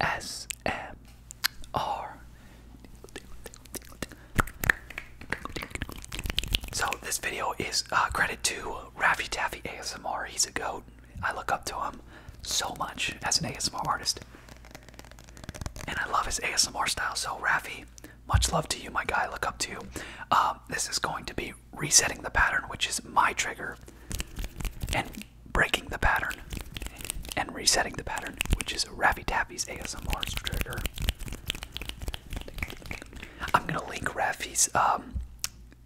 ASMR. So this video is uh, credit to Raffy Taffy ASMR. He's a goat. I look up to him so much as an ASMR artist. And I love his ASMR style. So Raffy, much love to you, my guy. I look up to you. Um, this is going to be resetting the pattern, which is my trigger, and breaking the pattern, and resetting the pattern, which is is Ravi Taffy's ASMR trigger. I'm gonna link Ravi's um,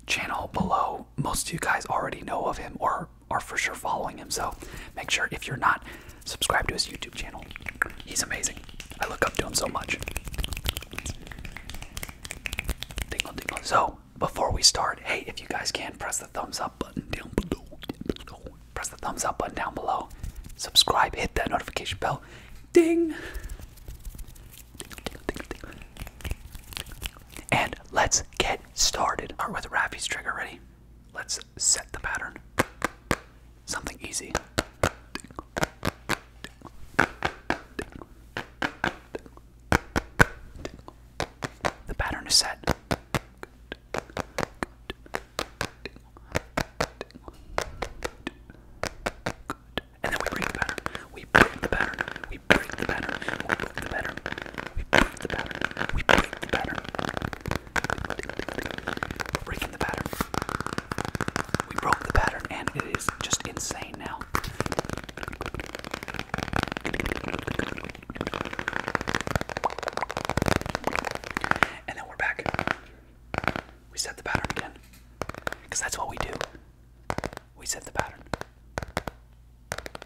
channel below. Most of you guys already know of him or are for sure following him, so make sure if you're not, subscribe to his YouTube channel. He's amazing. I look up to him so much. Dingle, dingle. So, before we start, hey, if you guys can, press the thumbs up button Down below press the thumbs up button down below. Subscribe, hit that notification bell. Ding! And let's get started. Start with Rappy's trigger ready. Let's set the pattern. Something easy. The pattern is set. And then we break the pattern. We break the pattern. We break the pattern. We break the pattern. We break the pattern. We break the pattern. We're breaking the pattern. We broke the pattern and it is just insane now. And then we're back. We set the pattern again. Because that's what we do. We set the pattern.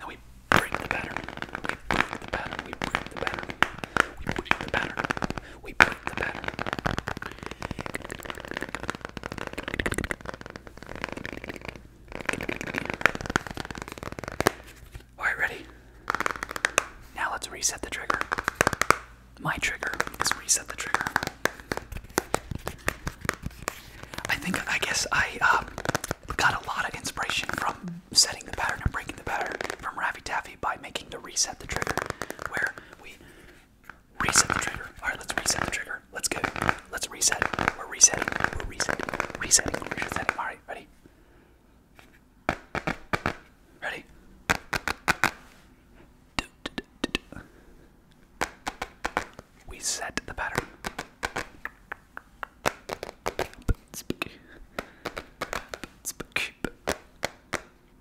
And we break the pattern. We break the pattern. We break the pattern. We break the pattern. We break the pattern. Alright, ready? Now let's reset the trigger. My trigger is reset the trigger. I think, I guess I um, got a lot of inspiration from setting the pattern and breaking the pattern from Ravi Taffy by making the reset the trigger, where we reset the trigger. Alright, let's reset the trigger. Let's go. Let's reset. We're resetting. We're resetting. Resetting. resetting. Alright, ready? Ready? We set the pattern.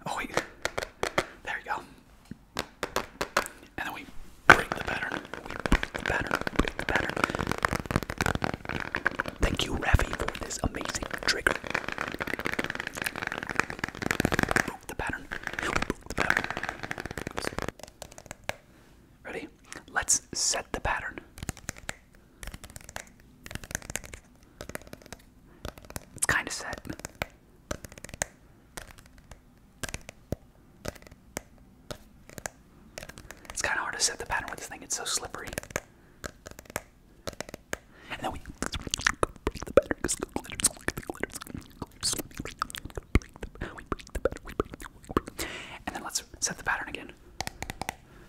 Oh wait, there you go. And then we break the pattern. We break the pattern. Break the pattern. Thank you, Rafi, for this amazing trigger. Broke the pattern. Broke the pattern. Ready? Let's set the pattern. It's kind of set. It's kind of hard to set the pattern with this thing, it's so slippery. And then we break the batter because the glitter, the glitter, we break the batter, we break the batter. And then let's set the pattern again.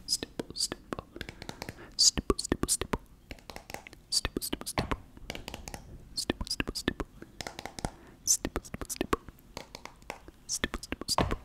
Stipple, stipple, stipple, stipple, stipple, stipple, stipple, stipple, stipple, stipple, stipple, stipple, stipple, stipple, stipple, stipple, stipple,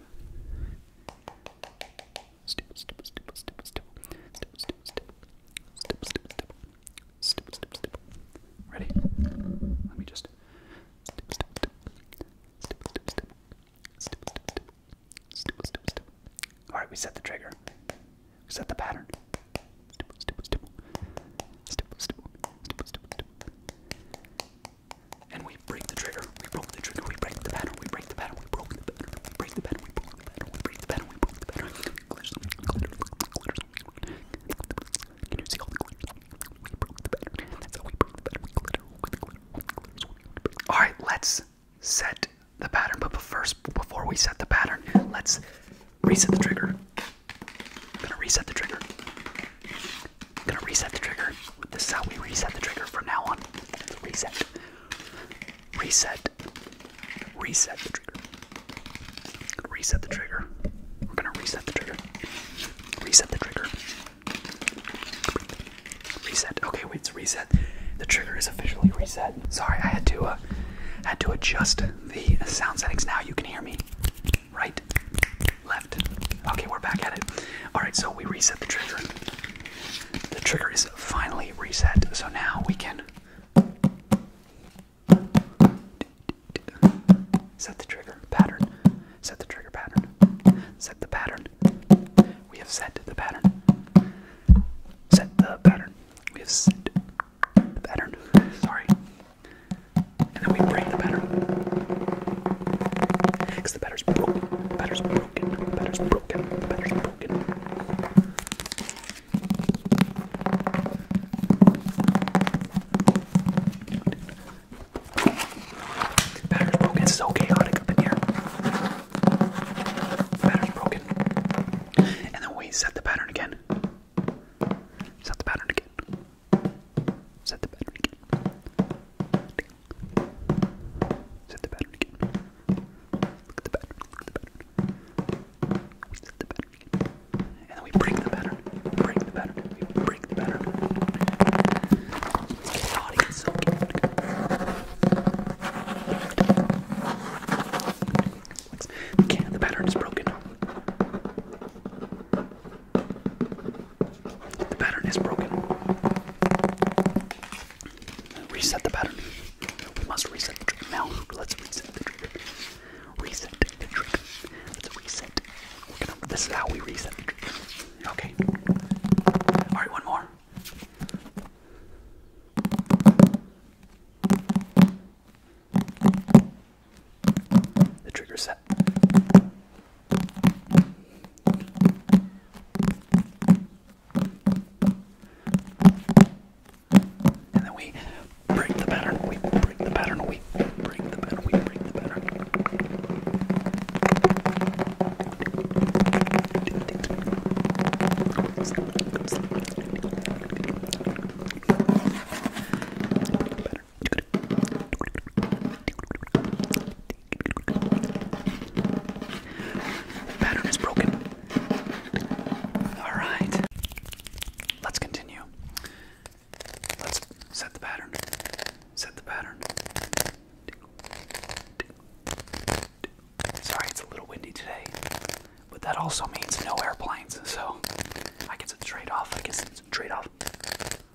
time. Stipple, stipple, stipple, stipple, stipple, stipple, stipple, stipple, stipple, stipple, stipple, Ready? Let me just All right, we set the trigger. set the pattern. And we break the trigger. We broke the trigger. We break the pattern. We break the pattern. We broke the pattern. We break the pattern. We broke the pattern. We break the pattern. We broke the pattern. Glitters. Glitters. Glitters. Can you see all the glitters? We broke the pattern. That's how we broke the pattern. We glitter. We glitter. We glitters. All right, let's set the pattern. But first, before we set the pattern, let's reset the trigger. I'm gonna reset the trigger. I'm gonna reset the trigger. This is how we reset the trigger from now on. Reset. Reset. Reset the trigger. Reset the trigger. We're gonna reset the trigger. Reset the trigger. Reset. Okay, wait, it's reset. The trigger is officially reset. Sorry, I had to uh, had to adjust the sound settings. Now you can hear me right, left. Okay, we're back at it. Alright, so we reset the trigger. The trigger is finally reset, so now we can set the trigger pattern, set the trigger pattern, set the pattern. We have set the pattern, set the pattern. We have set the pattern. Sorry and then we break the batter. the batter's broken, the broken, the broken, the broken. The broken, it's so chaotic up in here. The broken. And then we set the pattern again. Set the pattern again. Set the battery again. Set the battery again. Look at the battery. Look at the battery. Set the battery again. And then we break the battery. Break the battery. We break the battery. Let's get the audience. The can of the pattern is broken. The pattern is broken. Reset the pattern. We must reset the trick now. Let's reset the trick. Reset the trick. Let's reset. We're gonna, this is how we reset the trick. Okay. Alright, one more. The trigger set. And then we break the pattern, we break the pattern, we break the pattern, we break the pattern. Pattern is broken. All right. Let's continue. Let's set the pattern. Set the pattern. Sorry, it's a little windy today, but that also means no airplanes, so I get some trade off. I get some trade off.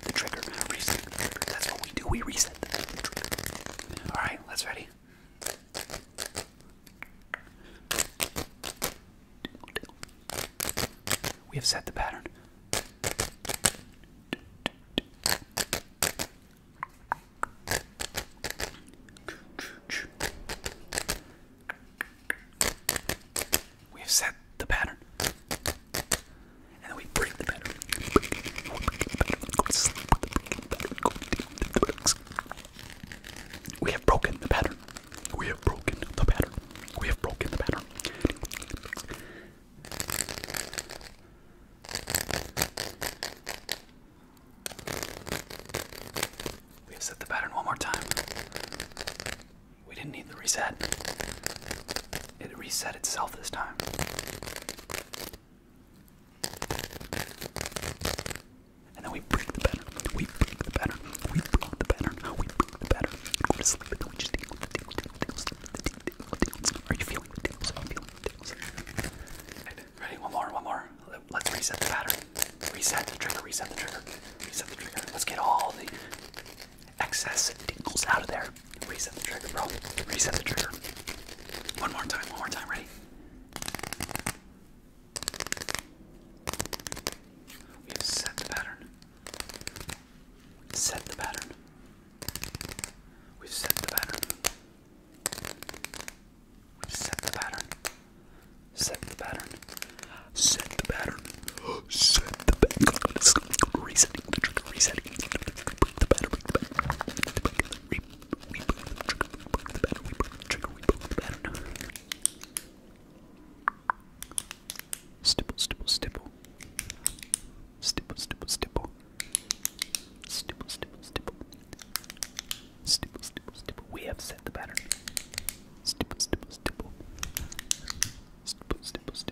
the trigger. Reset That's what we do. We reset All right, let's ready. We have set the pattern. We have set the pattern. And then we break the pattern. We have broken the pattern. We have broken the pattern. We have broken the pattern. We have set the pattern one more time. We didn't need the reset. It reset itself this time. And then we break the pattern. We break the pattern. We break the pattern. We break the pattern. Go to sleep. Don't just deal with the deal with Are you feeling the deals? I'm feeling the deals. Ready? One more. One more. Let's reset the pattern. Reset trigger. Reset the trigger. Reset the trigger. Let's get all the excess tingles out of there. Reset the trigger, bro. Reset the trigger. One more time, one more time, ready? We have set the pattern. Set the pattern. We've set the pattern. We've set the pattern. Set the pattern. Set the pattern the back, resetting the trigger, resetting the battery, the back, the re reboot the trigger, reboot the battery, reboot the trigger, reboot the battery. Stipple, stipple, stipple. Stipple, stipple, stipple. Stipple, stipple, stipple. Stipple, stipple, stipple. We have set the pattern. Stipple, stipple, stipple. Stipple, stipple, stipple.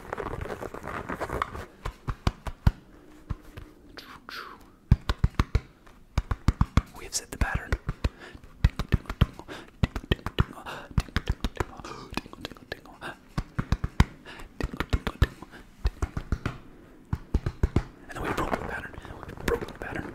We have set the pattern. And then we broke the pattern. We broke the pattern.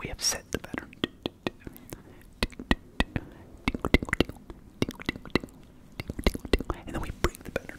We have set the pattern. And then we break the pattern.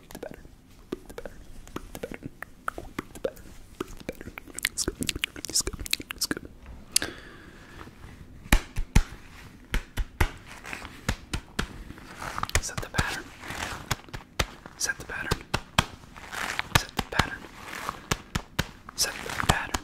Set the pattern. Set the pattern. Set the pattern. Set the pattern.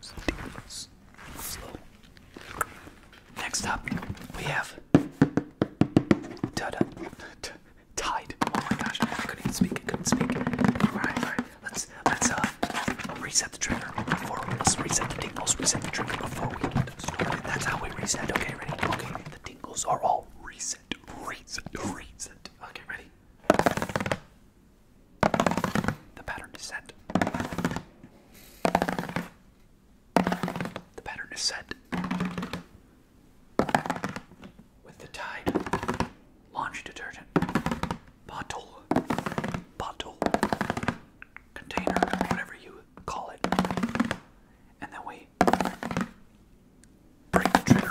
slow. Next up, we have da -da. Tide. Oh my gosh, I couldn't even speak. I couldn't speak. All right, all right. Let's let's uh reset the trigger before let's reset the tingles. Reset the trigger before we start. That's how we reset. Okay, ready? Okay, the tingles are all reset, reset, reset. Okay, ready? The pattern is set. The pattern is set. With the Tide laundry detergent bottle, bottle, container, whatever you call it, and then we break the trigger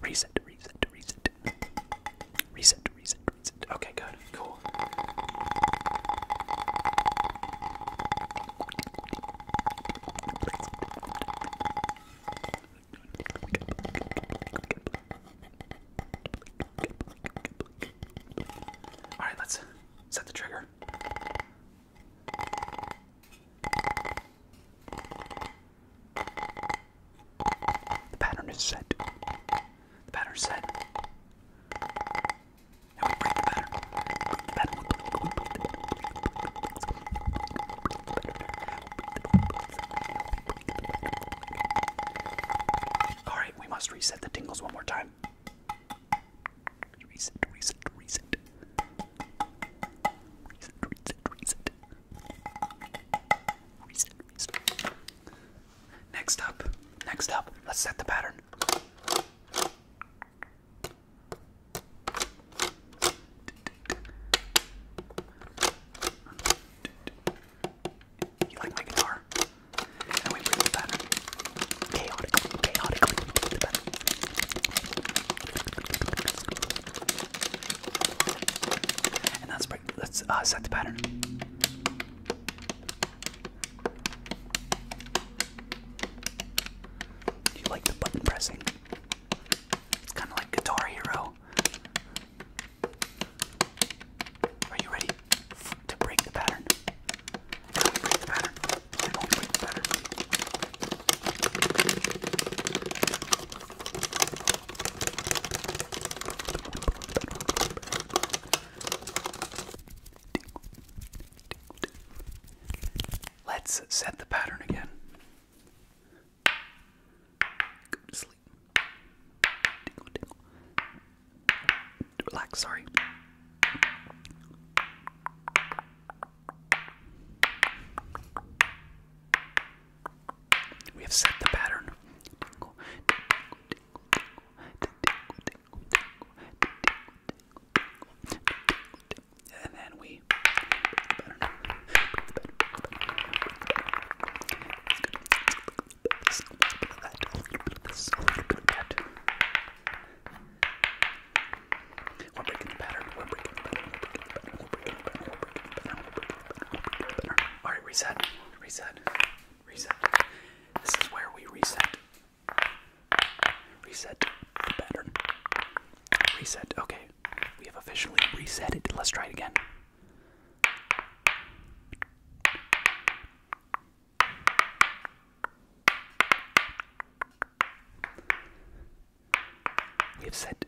Reset, reset, reset. Reset, reset, reset. Okay, good. Cool. All right, let's set the trigger. The pattern is set. The pattern is set. Now we break the pattern. Break the pattern. Alright, we must reset the tingles one more time. Reset, reset, reset. Reset, reset, reset. Next up, next up, let's set the pattern. You like my guitar? And we bring the pattern. Chaotically, chaotically, we bring the pattern. And let's break, let's uh, set the pattern. You like the button pressing? It's kind of like Guitar Hero. Are you ready to break the pattern? How do we break the pattern? How do we break the pattern? Let's set the pattern again. sleep. Relax, sorry. We have set the pattern. And then we. We're breaking the pattern. We're breaking the pattern. We're breaking the pattern. We're breaking the pattern. We're breaking the pattern. We're breaking the pattern. We're breaking the pattern. All right, reset, reset, reset. This is where we reset. Reset the Reset. Okay, we have officially reset it. Let's try it again. We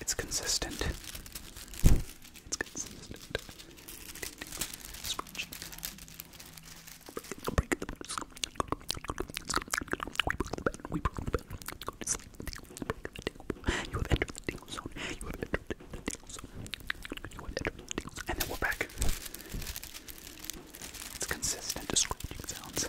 It's consistent. It's consistent. You have entered the tingle You have entered the tingle You have entered the tingle And then we're back. It's consistent to sounds.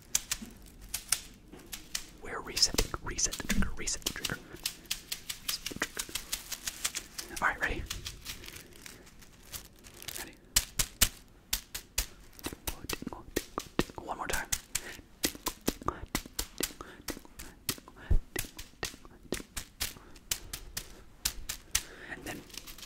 We're resetting. Reset the trigger. Reset the trigger. Reset the trigger. All right, ready? Ready? One more time. And then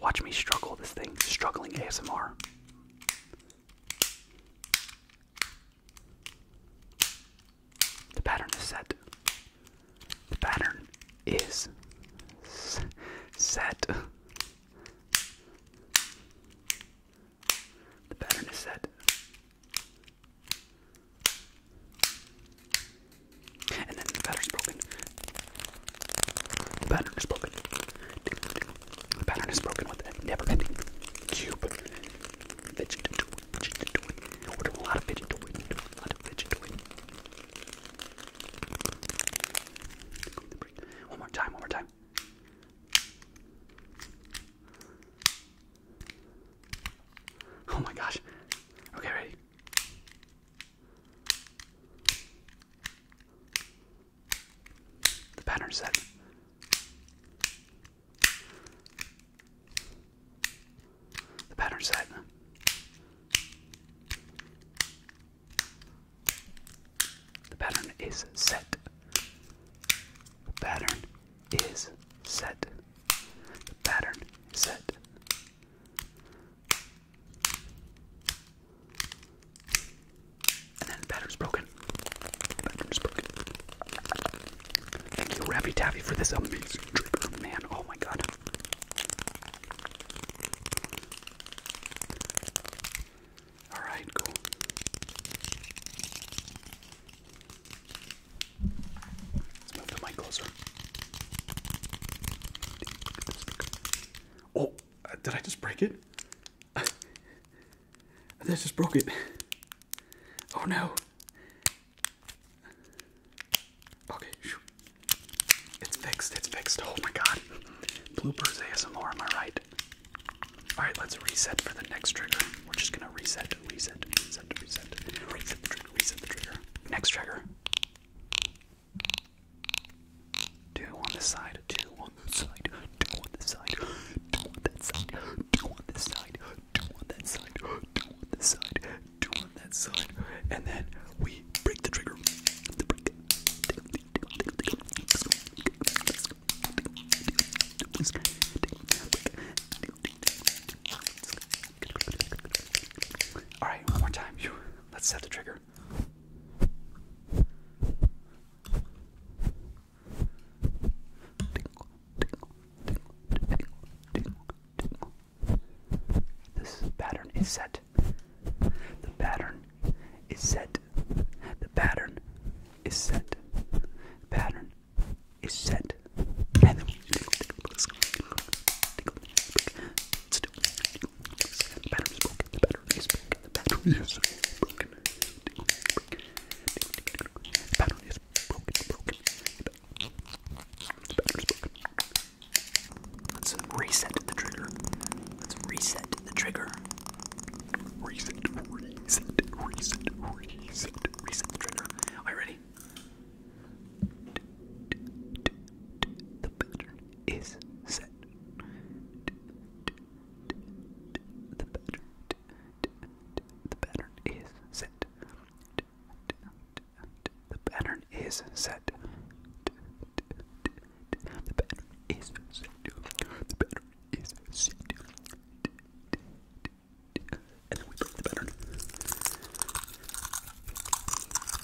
Watch me struggle this thing. Struggling ASMR. The pattern is set. The pattern is set. The pattern is set. And then the pattern's broken. The pattern is broken. The pattern is broken with never ending cube. Fidget to it, a lot of One more time, one more time. Oh my gosh. Okay, ready? The pattern set. The pattern set. The pattern is set. The pattern is set. The pattern set. And then pattern's broken. broken. Thank you, Rappy Taffy, for this amazing trigger, man. Oh my god. Alright, cool. Let's move the mic closer. Oh, uh, did I just break it? Uh, I just broke it. Oh no. Okay, shoot. It's fixed, it's fixed. Oh my god. Bloopers ASMR, am I right? Alright, let's reset for the next trigger. We're just gonna reset, reset, reset, reset, reset the trigger, reset the trigger. Next trigger. Two on this side, two on this side, two on this side, two on that side, two on this side, two on that side, two on this side, two on that side, and then we break the trigger. All right, one more time. Let's set the trigger. This pattern is set. The pattern is set. The pattern is set. The pattern is set. And then we Let's reset the trigger. Let's reset the trigger. Reset, reset, reset, reset, reset the trigger. Are you ready? the pattern is set. The pattern, the pattern is set. The pattern is set. The pattern is set. The pattern is set. And then we break the pattern.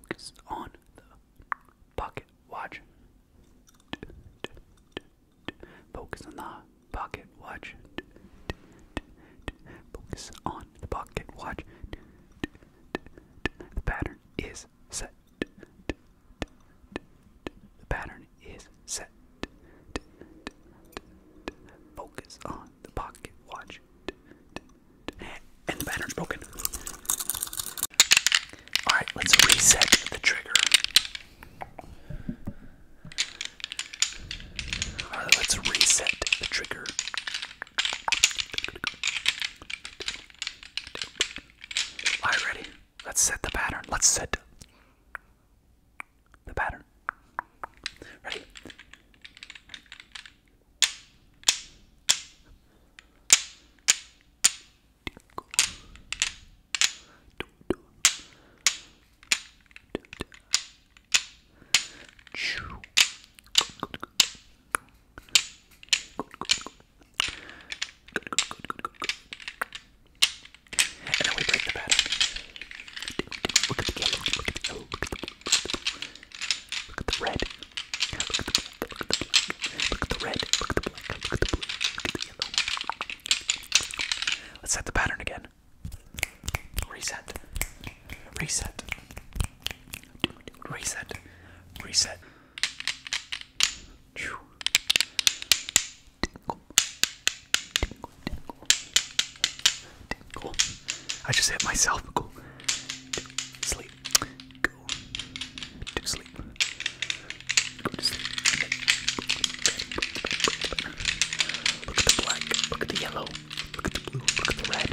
Focus on the pocket watch. Focus on the pocket watch. Focus on the pocket watch. The pattern is set. The pattern is set. Focus on the pocket watch and the pattern's broken. Alright, let's reset the trigger. Alright, let's reset the trigger. Alright, ready? Let's set the pattern. Let's set the pattern. Ready? And then we break the pattern. Look at the yellow, look at the yellow, look at the blue, look at the blue, Look at the red. Look at the black. Look at the black. Look at the red. Look at the black. Look at the blue. Look at the yellow. Let's set the pattern again. Reset. Reset. Reset. Reset. Tingle. Tingle. Tingle. Cool. I just hit myself. Cool. Sleep. Go to sleep. Go Look at the black. Look at the yellow. Look at the blue. Look at the red.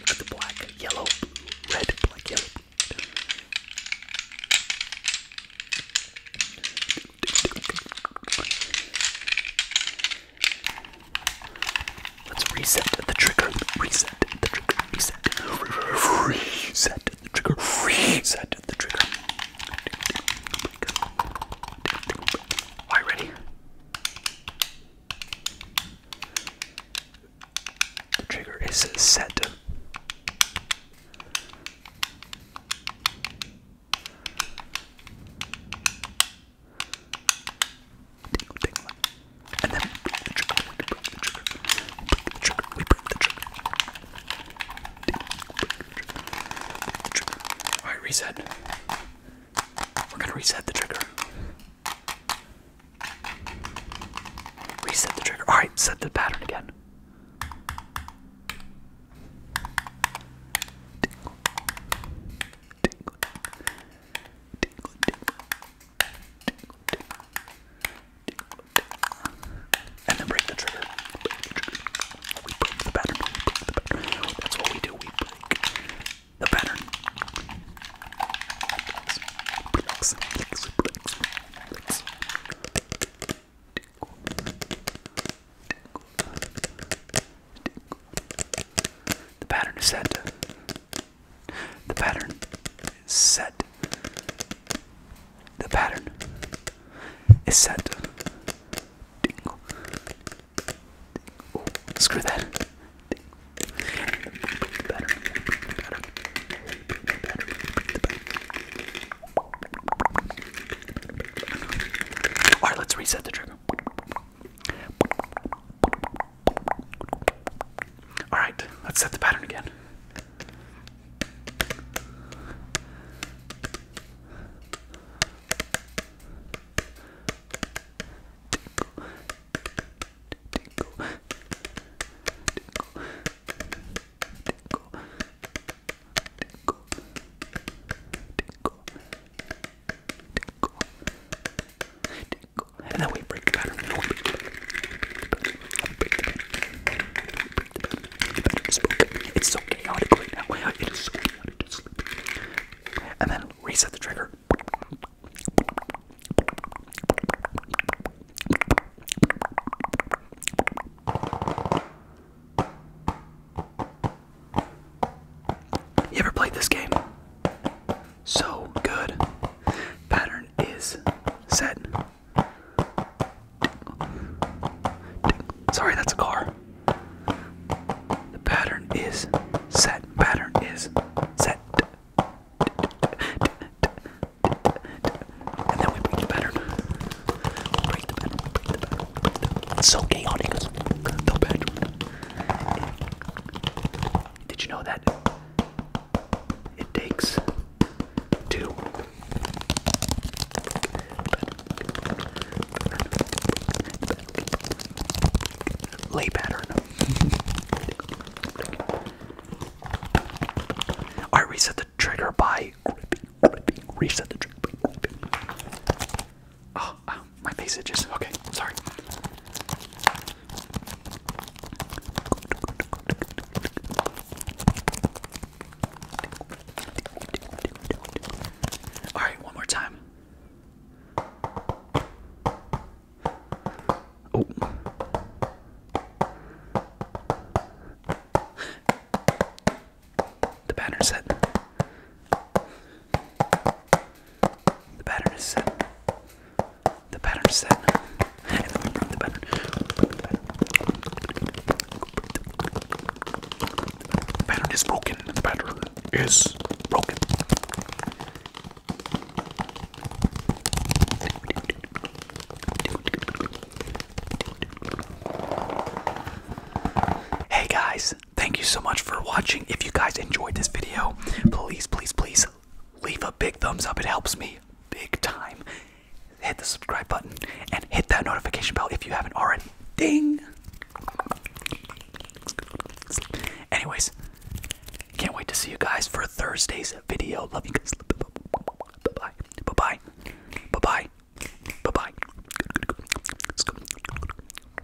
Look at the black, yellow, blue, red, black, yellow. Let's reset the trigger. Reset the trigger. Reset. Reset the trigger. Reset the trigger. Alright, ready? The trigger is set. Tingle, the trigger, we the trigger, Alright, reset. We're gonna reset the trigger. Reset the trigger. Alright, set the pattern again tingle, tingle, tingle, tingle, tingle, tingle. and then break the trigger. Break the trigger. We break the pattern. We break the pattern. That's what we do. We break the pattern. Relax. Relax. Relax. Relax. Tingle, tingle, the pattern is set. The pattern is set. The pattern is set. Dingle. screw that. Pattern. Pattern. Alright, let's reset the trigger. All right, let's set the pattern again. Tinkle, tinkle, tinkle, tinkle, tinkle, tinkle, tickle, tickle. And then we break the pattern. We break the pattern. We break the pattern. The pattern is broken. It's so chaotic right now. It is so chaotic to sleep. And then reset the trigger. You ever played this game? So good. Pattern is set. Sorry, that's a car. The pattern is set. Pattern is set. And then we break the pattern. Break the pattern. Break the pattern. It's so chaotic. The pattern. Did you know that it takes two? Lay pattern. I reset the trigger by reset the trigger. Oh, oh my face itches. Okay, sorry. All right, one more time. Oh. The banner set. The pattern is set. The pattern is set. And the pattern. The pattern is broken. The pattern is broken. Hey guys, thank you so much for watching. If you guys enjoyed this video, please, please, please leave a big thumbs up. It helps me big time. Hit the subscribe button and hit that notification bell if you haven't already. Ding! Anyways, can't wait to see you guys for Thursday's video. Love you guys. Bye bye. Bye bye. Bye bye. Bye bye.